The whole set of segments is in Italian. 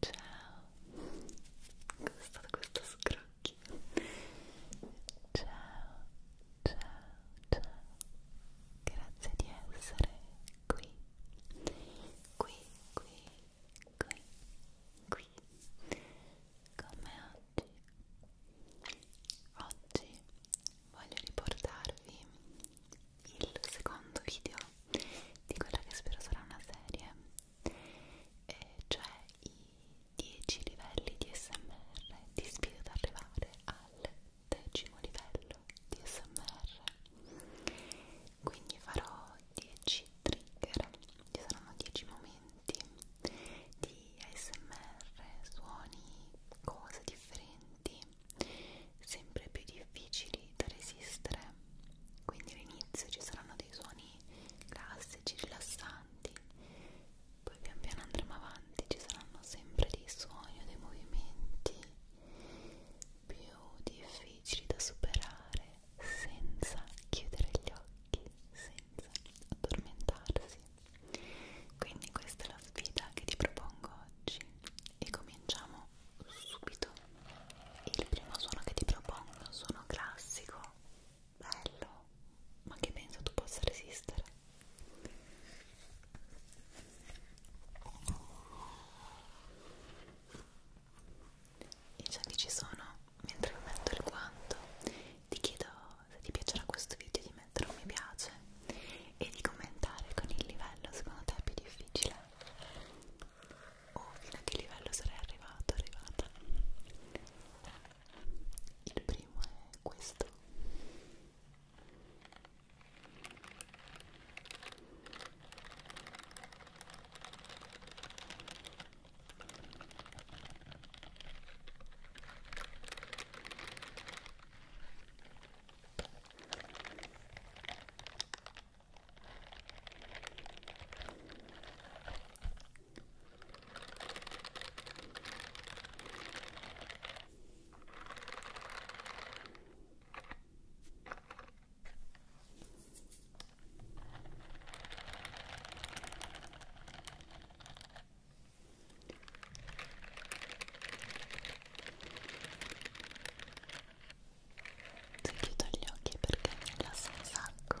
Ciao, è stato questo scrub occhi ciao ciao ciao grazie di essere qui qui qui qui qui come oggi oggi voglio riportarvi il secondo video di quella che spero sarà una serie eh, cioè i 10 livelli di smr ti sfido ad arrivare al decimo livello di smr quindi farò 10 trigger ci saranno 10 momenti di ASMR, suoni, cose differenti, sempre più difficili da resistere. Quindi all'inizio ci saranno dei suoni classici, rilassanti poi pian piano andremo avanti ci saranno sempre dei suoni o dei movimenti più difficili da superare senza chiudere gli occhi senza addormentarsi quindi questa è la sfida che ti propongo oggi e cominciamo subito il primo suono che ti propongo è un suono classico Bello, ma che penso tu possa resistere? I giochi ci sono, mentre mi metto il guanto ti chiedo se ti piacerà questo video di mettere un mi piace e di commentare con il livello secondo te è più difficile oh, fino a che livello sarei arrivato, arrivata il primo è questo chiudo gli occhi perché mi rilassa un sacco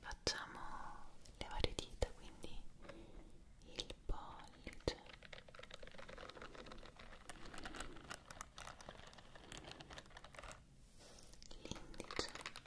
facciamo le varie dita quindi il pollice l'indice il medio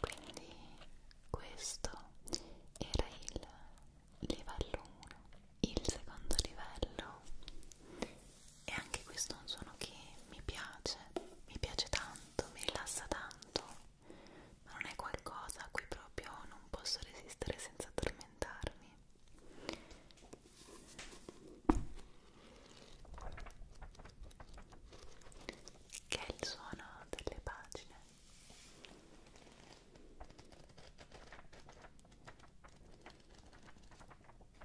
Quindi questo era il livello 1. Il secondo livello e anche questo è un suono che mi piace, mi piace tanto, mi rilassa tanto, ma non è qualcosa a cui proprio non posso resistere senza addormentarmi. Che è il suono delle pagine.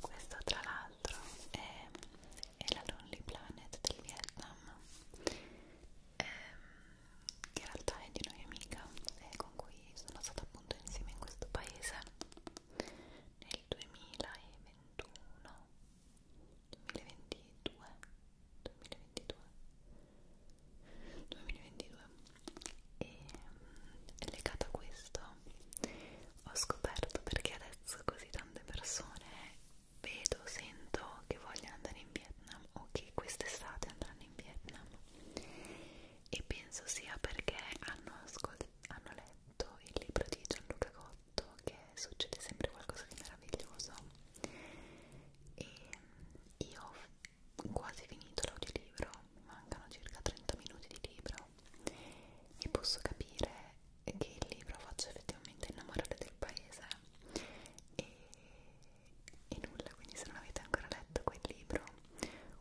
Questo tra l'altro è, è la Lonely Planet del Vietnam ehm, che in realtà è di una mia amica eh, con cui sono stata appunto insieme in questo paese nel 2021 2022 2022 2022 e ehm, legata a questo ho scoperto perché adesso così tante persone vedo, sento che voglio andare in Vietnam o che quest'estate andranno in Vietnam e penso sia perché hanno, hanno letto il libro di Gianluca Cotto che succede sempre qualcosa di meraviglioso e io ho quasi finito l'audiolibro mi mancano circa 30 minuti di libro e posso capire che il libro faccia effettivamente innamorare del paese e e nulla, quindi se non avete ancora letto quel libro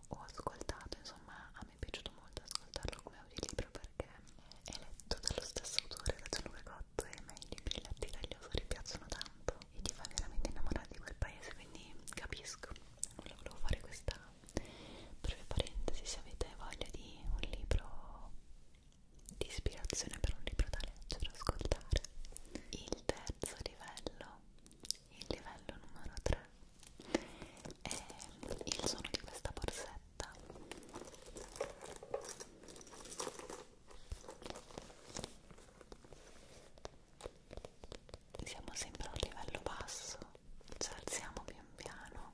o ascoltato, insomma a me è piaciuto molto ascoltarlo come audiolibro perché è letto dallo stesso autore, da Gianluca Cotto e a me i libri letti dagli autori piacciono tanto e ti fa veramente innamorare di quel paese, quindi capisco, nulla, volevo fare questa breve parentesi, se avete voglia di un libro di ispirazione per un libro da leggere o ascoltare. Il terzo livello, il livello numero 3, è il suono di questa borsetta. Siamo sempre a un livello basso, ci alziamo pian piano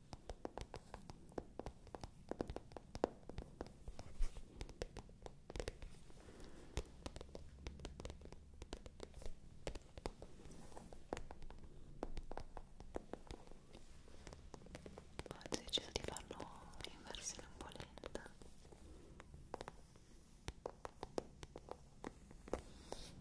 ho deciso di farlo in versione un po' lenta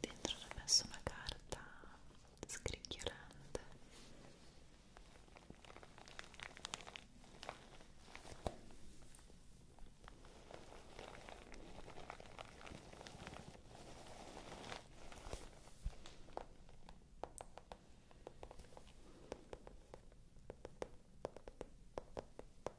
Dentro ho messo una carta scricchiolante. Ecco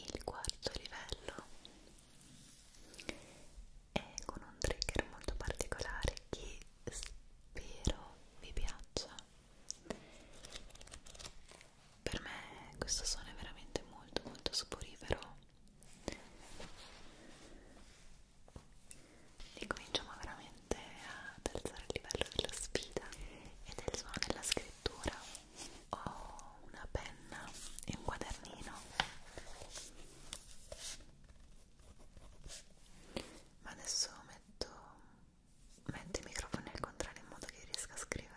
Il quarto livello è con un trigger molto particolare che spero vi piaccia per me questo suono è veramente molto molto saporifero e cominciamo veramente ad alzare il livello della sfida e del suono della scrittura ho una penna e un quadernino ma adesso metto metto i microfoni al contrario in modo che riesca a scrivere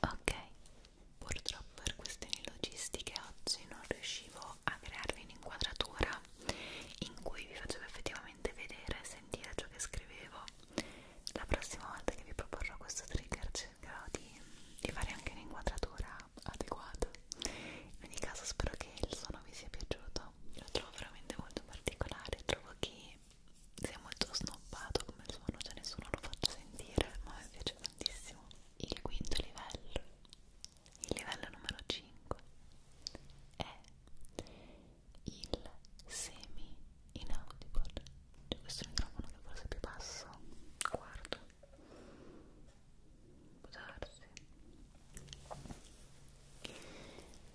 Ok, purtroppo per questioni logistiche oggi non riuscivo a crearvi un'inquadratura in cui vi facevo effettivamente vedere e sentire ciò che scrivevo. La prossima volta che vi proporrò questo trigger cercherò di, di fare anche un'inquadratura adeguata in ogni caso spero che il suono vi sia piaciuto lo trovo veramente molto particolare trovo che sia molto snobbato come suono cioè nessuno lo faccia sentire ma mi piace tantissimo il quinto livello il livello numero 5 è il semi inaudible cioè questo microfono che forse è più basso guardo può darsi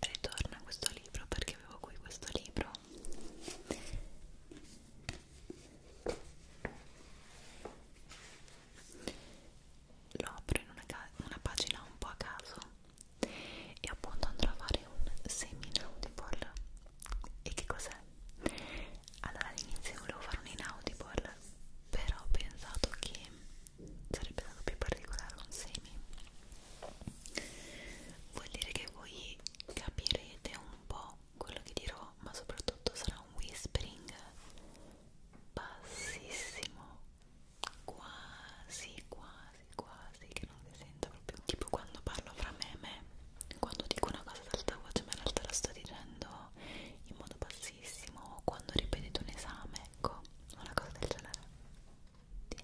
ritorna questo libro perché avevo qui questo libro lo apro in una, una pagina un po' a caso e appunto andrò a fare un semi-inaudible e che cos'è? allora all'inizio volevo fare un inaudible però ho pensato che sarebbe stato più particolare con semi vuol dire che voi capirete un po' quello che dirò ma soprattutto sarà un whispering bassissimo quasi quasi quasi che non si sente proprio tipo quando parlo fra me e me quando dico una cosa ad alta voce ma in realtà la sto dicendo in modo bassissimo scarsissimo o quando ripetete un esame, ecco, una cosa del genere.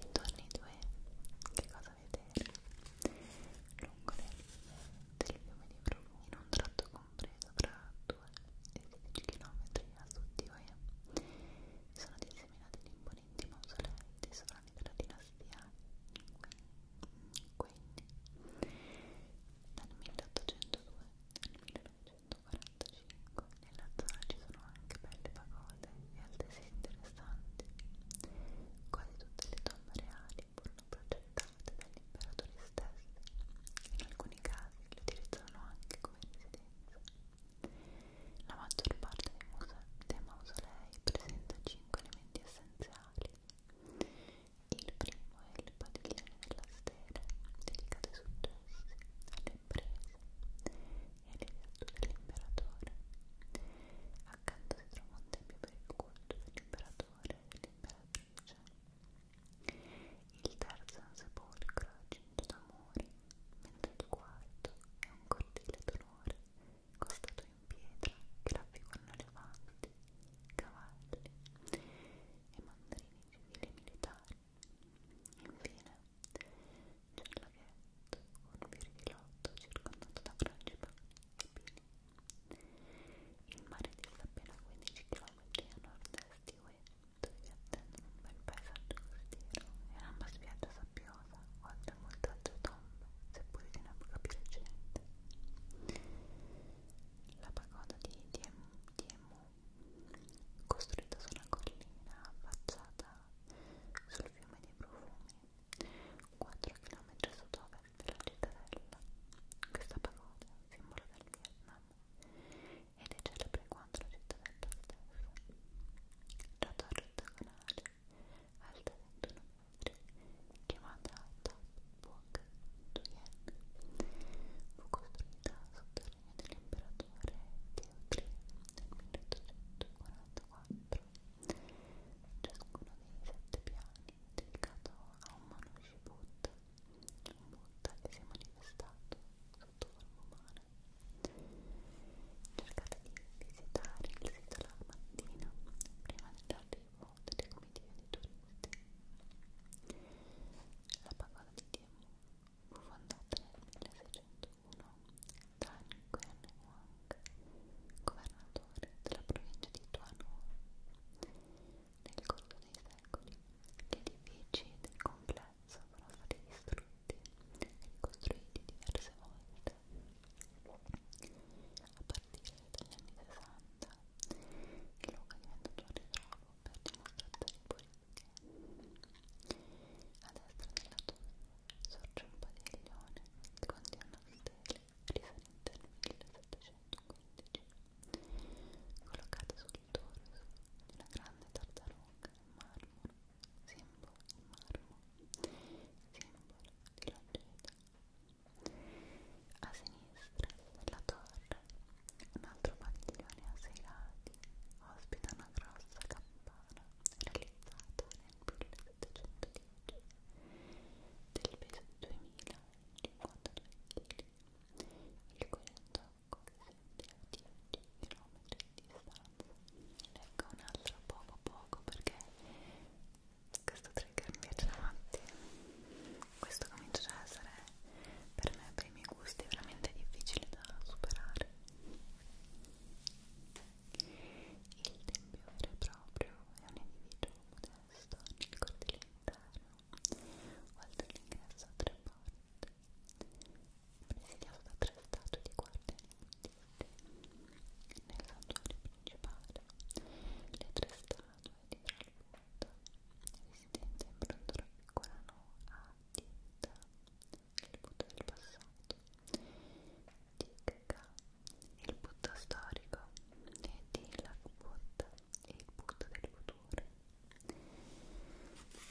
Intorno ai due, che cosa vedere? Lungo le linee del fiume di Bruno, in un tratto compreso tra 2 e 16 km a sud di Oia, sono disseminati imponenti mausolei tesorati della dinastia Quenni dal 1802 al 1800 145 nella zona ci sono anche belle pagode e altresì interessanti quasi tutte le tombe reali furono progettate dagli imperatori stessi in alcuni casi le utilizzano anche come residenza la maggior parte dei, muse dei mausolei presenta 5 elementi essenziali il primo è il padiglione della stele dedicato ai successi alle riprese e l'edietto dell'imperatore. Accanto si trovò un tempio per il culto dell'imperatore e dell'imperatrice. Il terzo è un sepolcro cinto d'amore, mentre il quarto è un cortile d'onore costato in pietra che raffigurano elefanti, cavalli e mandarini civili militari. Infine, c'è il laghetto, un virgilotto circondato da frangipani e pini. Il mare dista appena 15 km a nord-est di Ué, dove vi attendono un bel paesaggio costiero e un'amba spiaggia sabbiosa, oltre a molte altre tombe, seppure di un'epoca più recente. La pagoda di Diemu costruita su una collina affacciata sul fiume dei profumi, 4 km a sud-ovest della cittadella. Questa pagoda, simbolo del Vietnam, ed è celebre quanto la cittadella stessa. La torre ottagonale, alta 21 metri, chiamata Top Buok Duyen, fu costruita sotto regno dell'imperatore Teodrio nel 1844. Ciascuno dei sette piani è dedicato a un Manushi Buddha, un Buddha che si è manifestato sotto forma umana. Cercate di visitare il sito la mattina prima dell'arrivo delle comitive di turisti. La pagoda di Diemu Fu fondata nel 1601 da Nguyen Huang, governatore della provincia di Tuanu. Nel corso dei secoli, gli edifici del complesso sono stati distrutti e ricostruiti diverse volte. A partire dagli anni 60, il luogo è diventato un ritrovo per dimostrazione politiche. A destra della tomba sorge un padiglione che contiene stelle risalente al 1715, collocate sul torso di una grande tartaruga in marmo, simbolo in marmo, simbolo di longevità. A sinistra della torre un altro padiglione a sei lati ospita una grossa campana realizzata nel 1710 del peso di 2052 kg il cui intocco risente a 10 km di distanza leggo un altro poco poco perché questo trigger mi piace davanti questo comincia a essere per me i primi gusti, è veramente difficile da superare. Il tempio vero e proprio è un individuo modesto nel cortile interno, oltre all'ingresso a tre porte, presidiato da tre statue di guardiani buddisti. Nel santuario principale, le tre statue di Buddha, residente in bronzo raffigurano a dita il Buddha del passato, Tikka, il Buddha storico, e Tilak Buddha, il Buddha del futuro.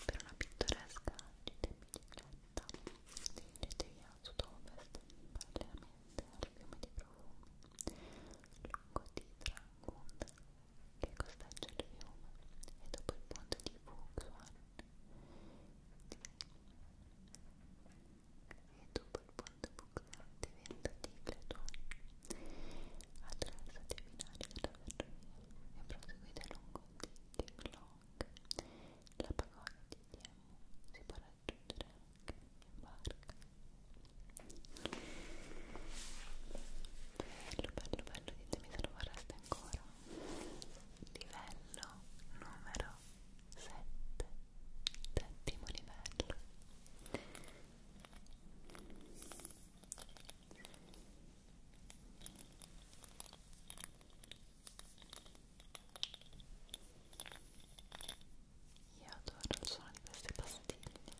Per una pittoresca gita in bicicletta, dirigetevi a sud-ovest, parallelamente al fiume di profumi, lungo Titra Gunda, che costeggia il fiume, e dopo il ponte di Fuxuan e dopo il ponte buclante diventa Ticleto attraversate i binari della ferrovia e proseguite lungo Tiklock la pagoda di Diemu si può raggiungere anche in barca bello bello bello ditemi se lo vorreste ancora livello numero 7 settimo livello io adoro il suono di queste pastiglie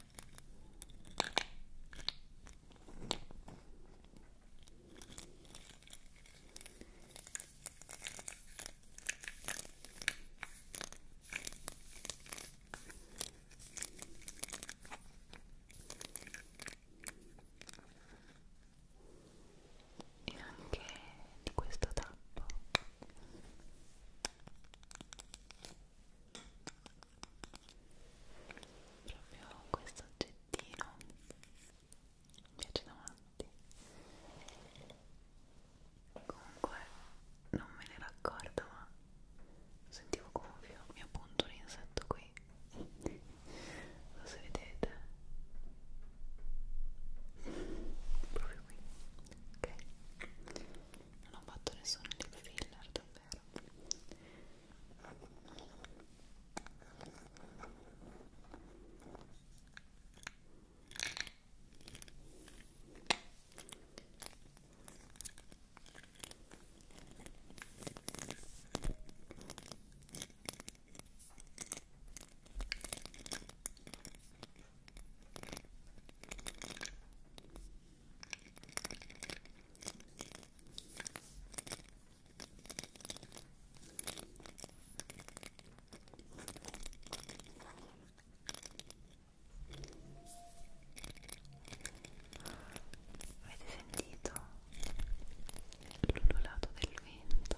e anche di questo tappo proprio questo oggettino mi piace davanti comunque non me ne raccordo ma sentivo gonfio mi appunto l'insetto qui lo so vedete proprio qui ok non ho fatto nessun lip filler davvero Avete sentito l'ululato del vento?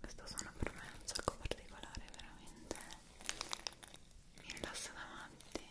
questo suono per me è un sacco particolare veramente mi rilassa davanti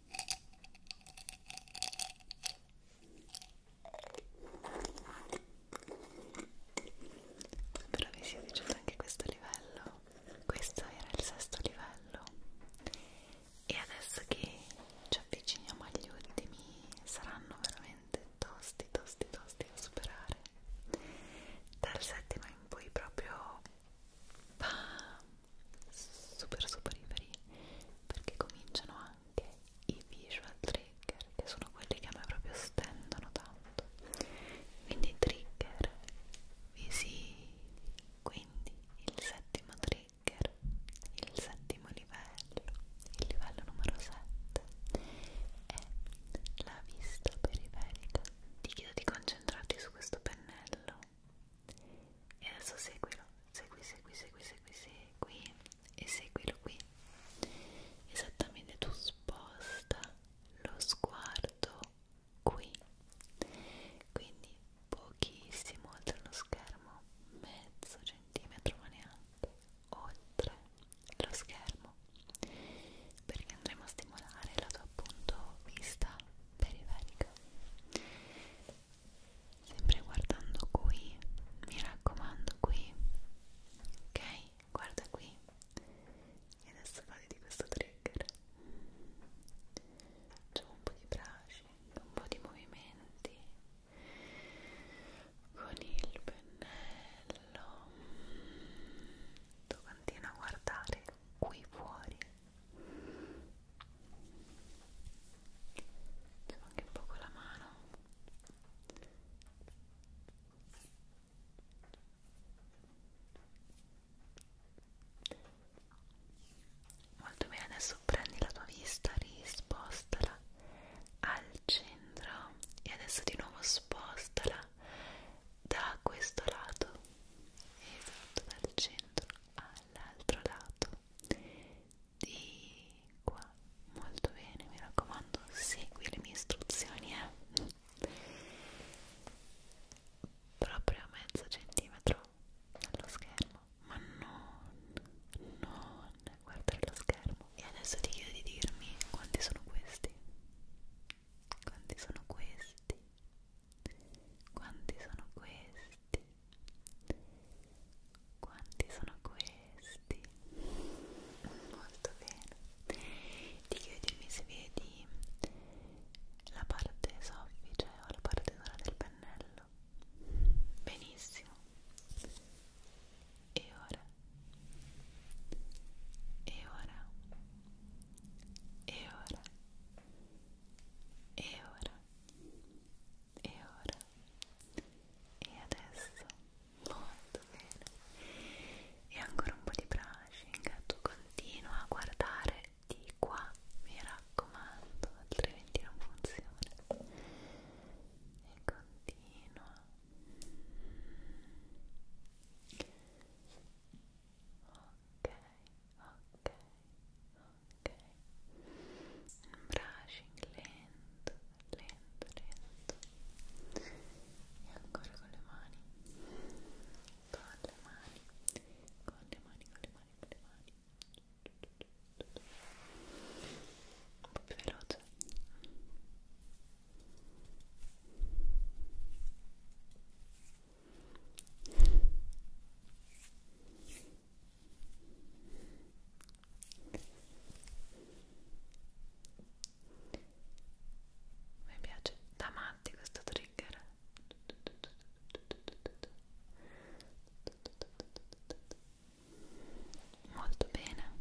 Spero vi sia piaciuto anche questo livello. Questo era il sesto livello. E adesso che ci avviciniamo agli ultimi, saranno veramente tosti, tosti, tosti da superare. Dal settimo in poi proprio bam, super super liberi perché cominciano anche i visual trigger che sono quelli che a me proprio stendono tanto quindi trigger visivi quindi il settimo trigger il settimo livello il livello numero 7 è la vista periferica ti chiedo di concentrarti su questo pennello e adesso seguilo segui segui segui segui segui e seguilo qui esattamente tu sposta lo sguardo qui quindi pochissimo oltre lo schermo mezzo centimetro ma neanche oltre lo schermo perché andremo a stimolare la tua appunto vista periferica sempre guardando qui mi raccomando qui ok guarda qui e adesso fate di questo trigger facciamo un po' di brushing un po' di movimenti con il pennello tu continua a guardare qui fuori Devo anche un po' con la mano molto bene adesso prendi la tua vista rispostala al centro e adesso di nuovo spostala da questo lato esatto dal centro al dall'altro lato di qua molto bene mi raccomando segui le mie istruzioni eh. proprio a mezzo centimetro dallo schermo ma non non guardare lo schermo e adesso ti chiedo di dirmi quanti sono questi quanti sono questi quanti sono questi quanti sono questi? Molto bene. Ti chiedimi se vedi la parte soffice o la parte dura del pennello. Benissimo. E ora? E ora? E ora? E ora? e ora e adesso molto bene e ancora un po' di brushing tu continua a guardare di qua mi raccomando altrimenti non funziona e continua ok ok ok ok? Un brushing lento, lento, lento e ancora con le mani con le mani con le mani, con le mani, con le mani un po' più veloce ok mi piace da matti questo trigger molto bene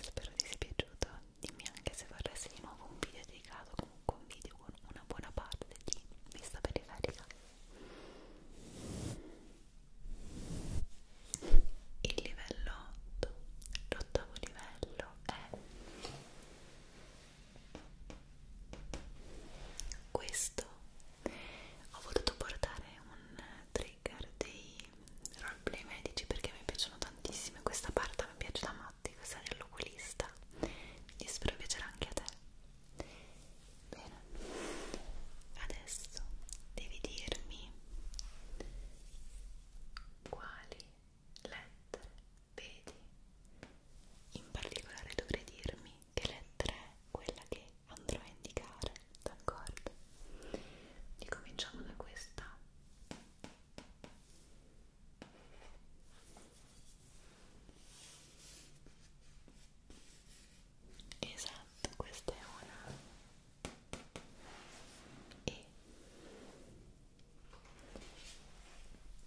spero ti sia piaciuto dimmi anche se vorresti di nuovo un video dedicato comunque un video con una buona parte di vista periferica il livello 8 l'ottavo livello è questo ho voluto portare un trigger dei roleplay medici perché mi piacciono tantissimo questa parte mi piace da male notte, questa dell'oculista quindi spero piacerà anche a te bene adesso devi dirmi quali lettere vedi in particolare dovrei dirmi che lettera è quella che andrò a indicare d'accordo? ricominciamo da questa Esatto, questa è una e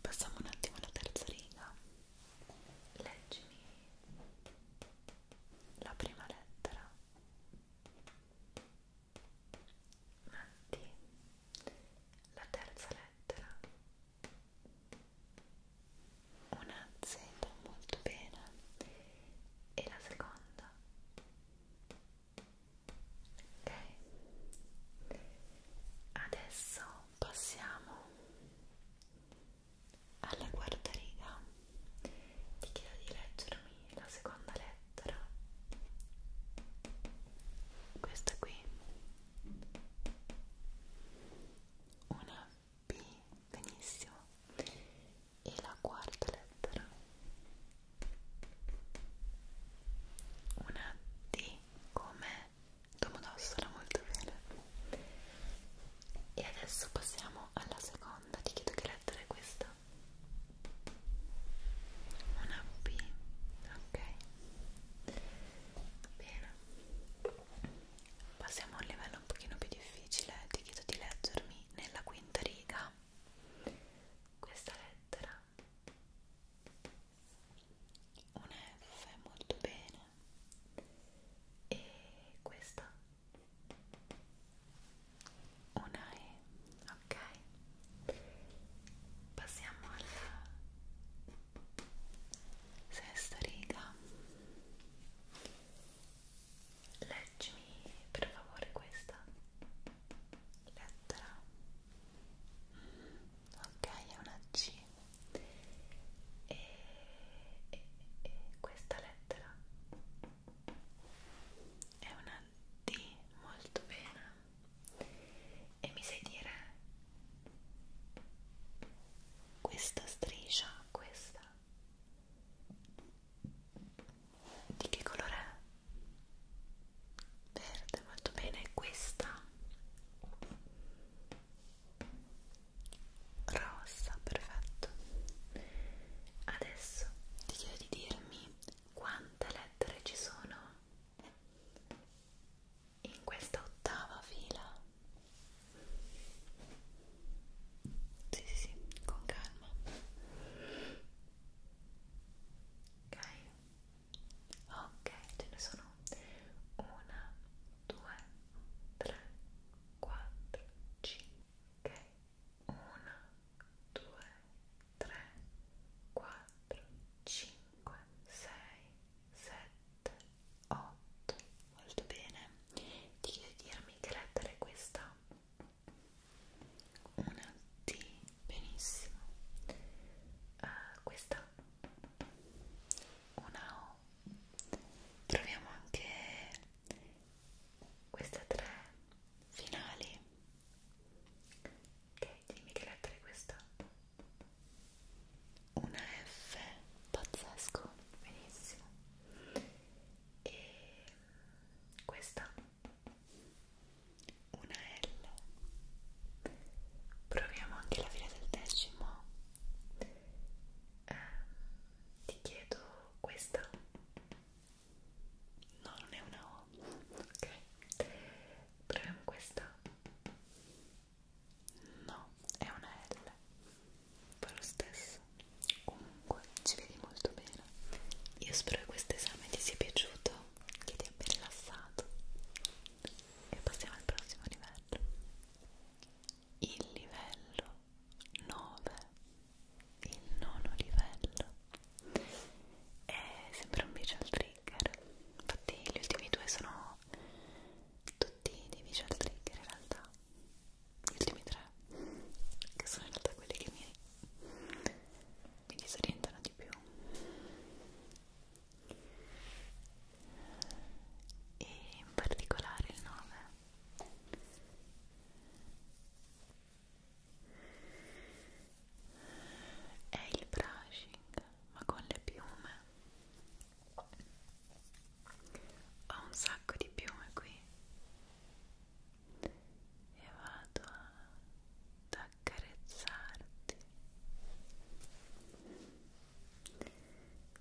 passiamo un attimo alla terza riga. Leggimi la prima lettera. Matti, la terza lettera una Z molto bene e la seconda ok adesso passiamo alla guardariga ti chiedo di leggermi la seconda lettera questa qui una B, benissimo, e la quarta lettera, una D come Domodossola, molto bene. E adesso passiamo alla seconda, ti chiedo che lettera è questa? Una B, ok. Bene. Passiamo a un livello un pochino più difficile, ti chiedo di leggermi nella quinta riga questa lettera. Un F, molto bene. E questa? Una E, ok. Passiamo alla sesta riga leggimi per favore questa lettera ok è una C e, e, e questa lettera è una D molto bene e mi sai dire questa striscia, questa di che colore è? Verde, molto bene, questa rossa, perfetto. Adesso ti chiedo di dirmi quante lettere ci sono in questa ottava fila sì sì sì con calma ok ok ce ne sono una due tre quattro cinque ok una due tre quattro cinque sei 7, 8, molto bene. Ti chiedo di dirmi che lettera è questa? Una T, benissimo. Uh, questa? Una O. Proviamo anche queste tre finali. Ok, dimmi che lettera è questa? una F pazzesco, benissimo e questa una L proviamo anche la fine del decimo eh, ti chiedo questa no non è una O ok proviamo questa No, è una L. Fa lo stesso. Comunque, ci vedi molto bene. Io spero che questo esame ti sia piaciuto, che ti abbia rilassato. E passiamo al prossimo livello. Il livello 9. Il nono livello. È sempre un visual trigger. Infatti, gli ultimi due sono tutti dei visual trigger in realtà gli ultimi tre che sono in realtà quelli che mi, mi disorientano di più e in particolare il 9 è il brushing ma con le piume ho un sacco di piume qui e vado ad accarezzarti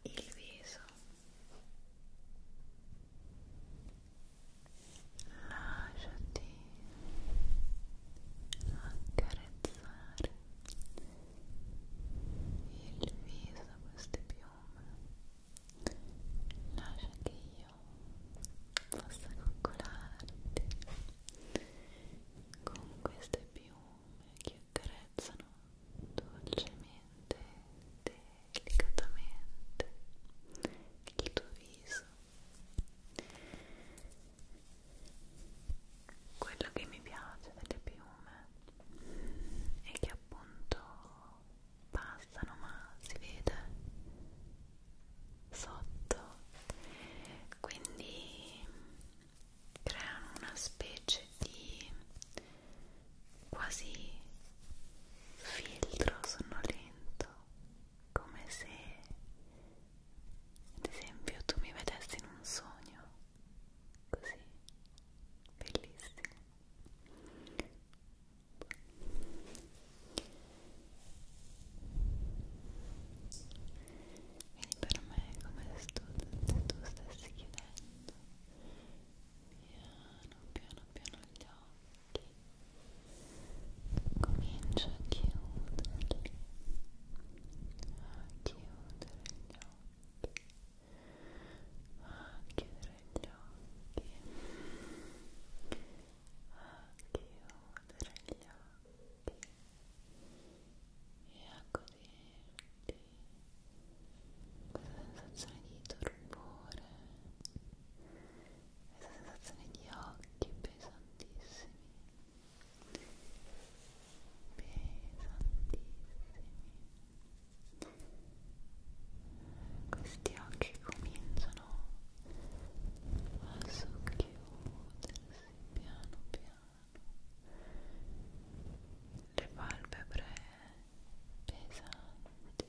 il viso lasciati accarezzare il viso a queste piume lascia che io possa coccolarti con queste piume che accarezzano dolcemente delicatamente il tuo viso quello che mi piace delle piume è che appunto passano ma si vede sotto quindi creano una specie di quasi filtro sonnolento come se ad esempio tu mi vedessi in un sogno così bellissimo quindi per me è come se tu, se tu stessi chiudendo piano piano piano gli occhi comincia a chiuderli a chiudere gli occhi a chiudere gli occhi a chiudere gli occhi e a ecco goderti questa sensazione di torpore questa sensazione di occhi pesantissimi pesantissimi questi occhi cominciano a socchiudersi piano piano le palpebre pesanti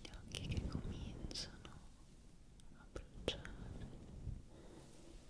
gli occhi che cominciano a bruciare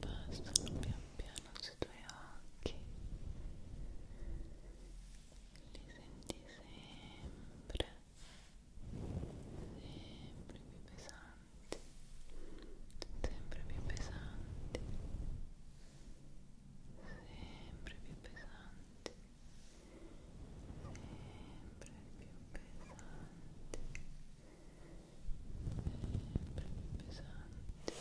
passano pian piano sui tuoi occhi li senti sempre sempre più pesanti sempre più pesanti sempre più pesanti sempre più pesanti sempre più pesanti sempre più pesanti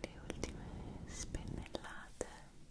le ultime spennellate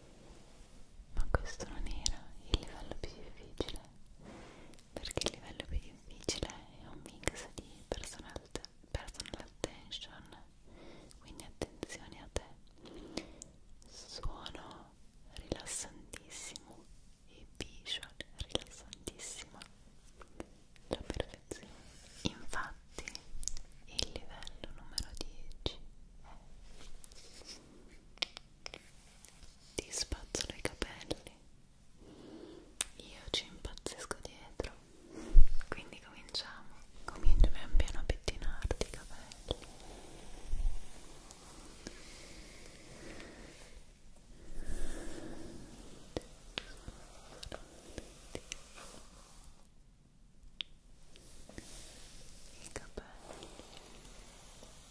ma questo non era il livello più difficile perché il livello più difficile è un mix di personal, personal attention quindi attenzione a te suono rilassantissimo e visual rilassantissima la perfezione infatti il livello numero 10 è ti spazzolo i capelli io ci impazzisco dietro quindi cominciamo comincio pian piano a pettinarti i capelli i capelli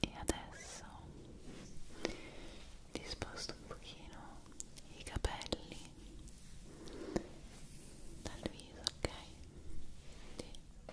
E adesso ti sposto un pochino i capelli dal viso, ok? Sì.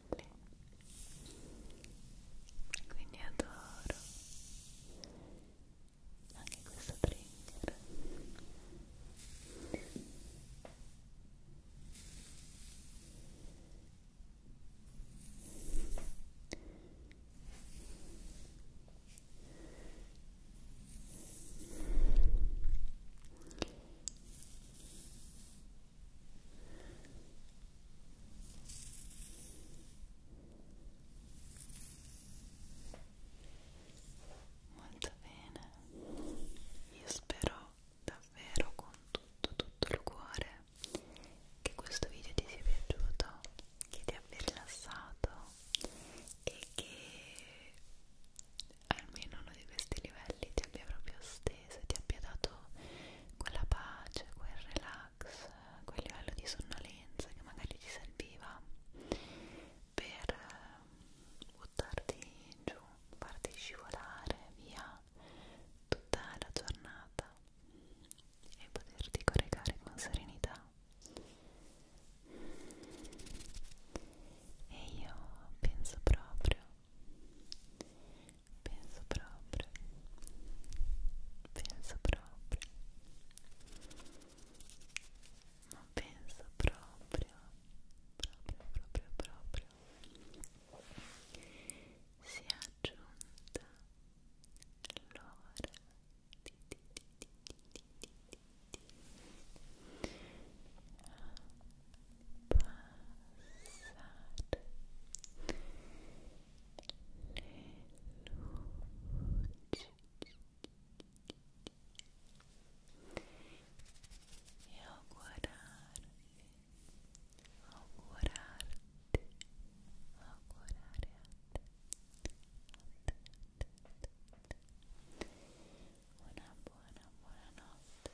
pelle quindi adoro anche questo trigger Ecco Molto bene, io spero davvero con tutto tutto il cuore che questo video ti sia piaciuto, che ti abbia rilassato e che almeno uno di questi livelli ti abbia proprio stretto attese ti abbia dato quella pace, quel relax, quel livello di sonnolenza che magari ti serviva per eh, buttarti giù, farti scivolare via tutta la giornata e poterti corregare con serenità e io penso proprio Penso proprio. Penso proprio. Ma penso proprio. Proprio, proprio, proprio. Si è aggiunta l'ora di, di, di, di, di, di, di passare e augurarti, augurare buona, buona Buona notte,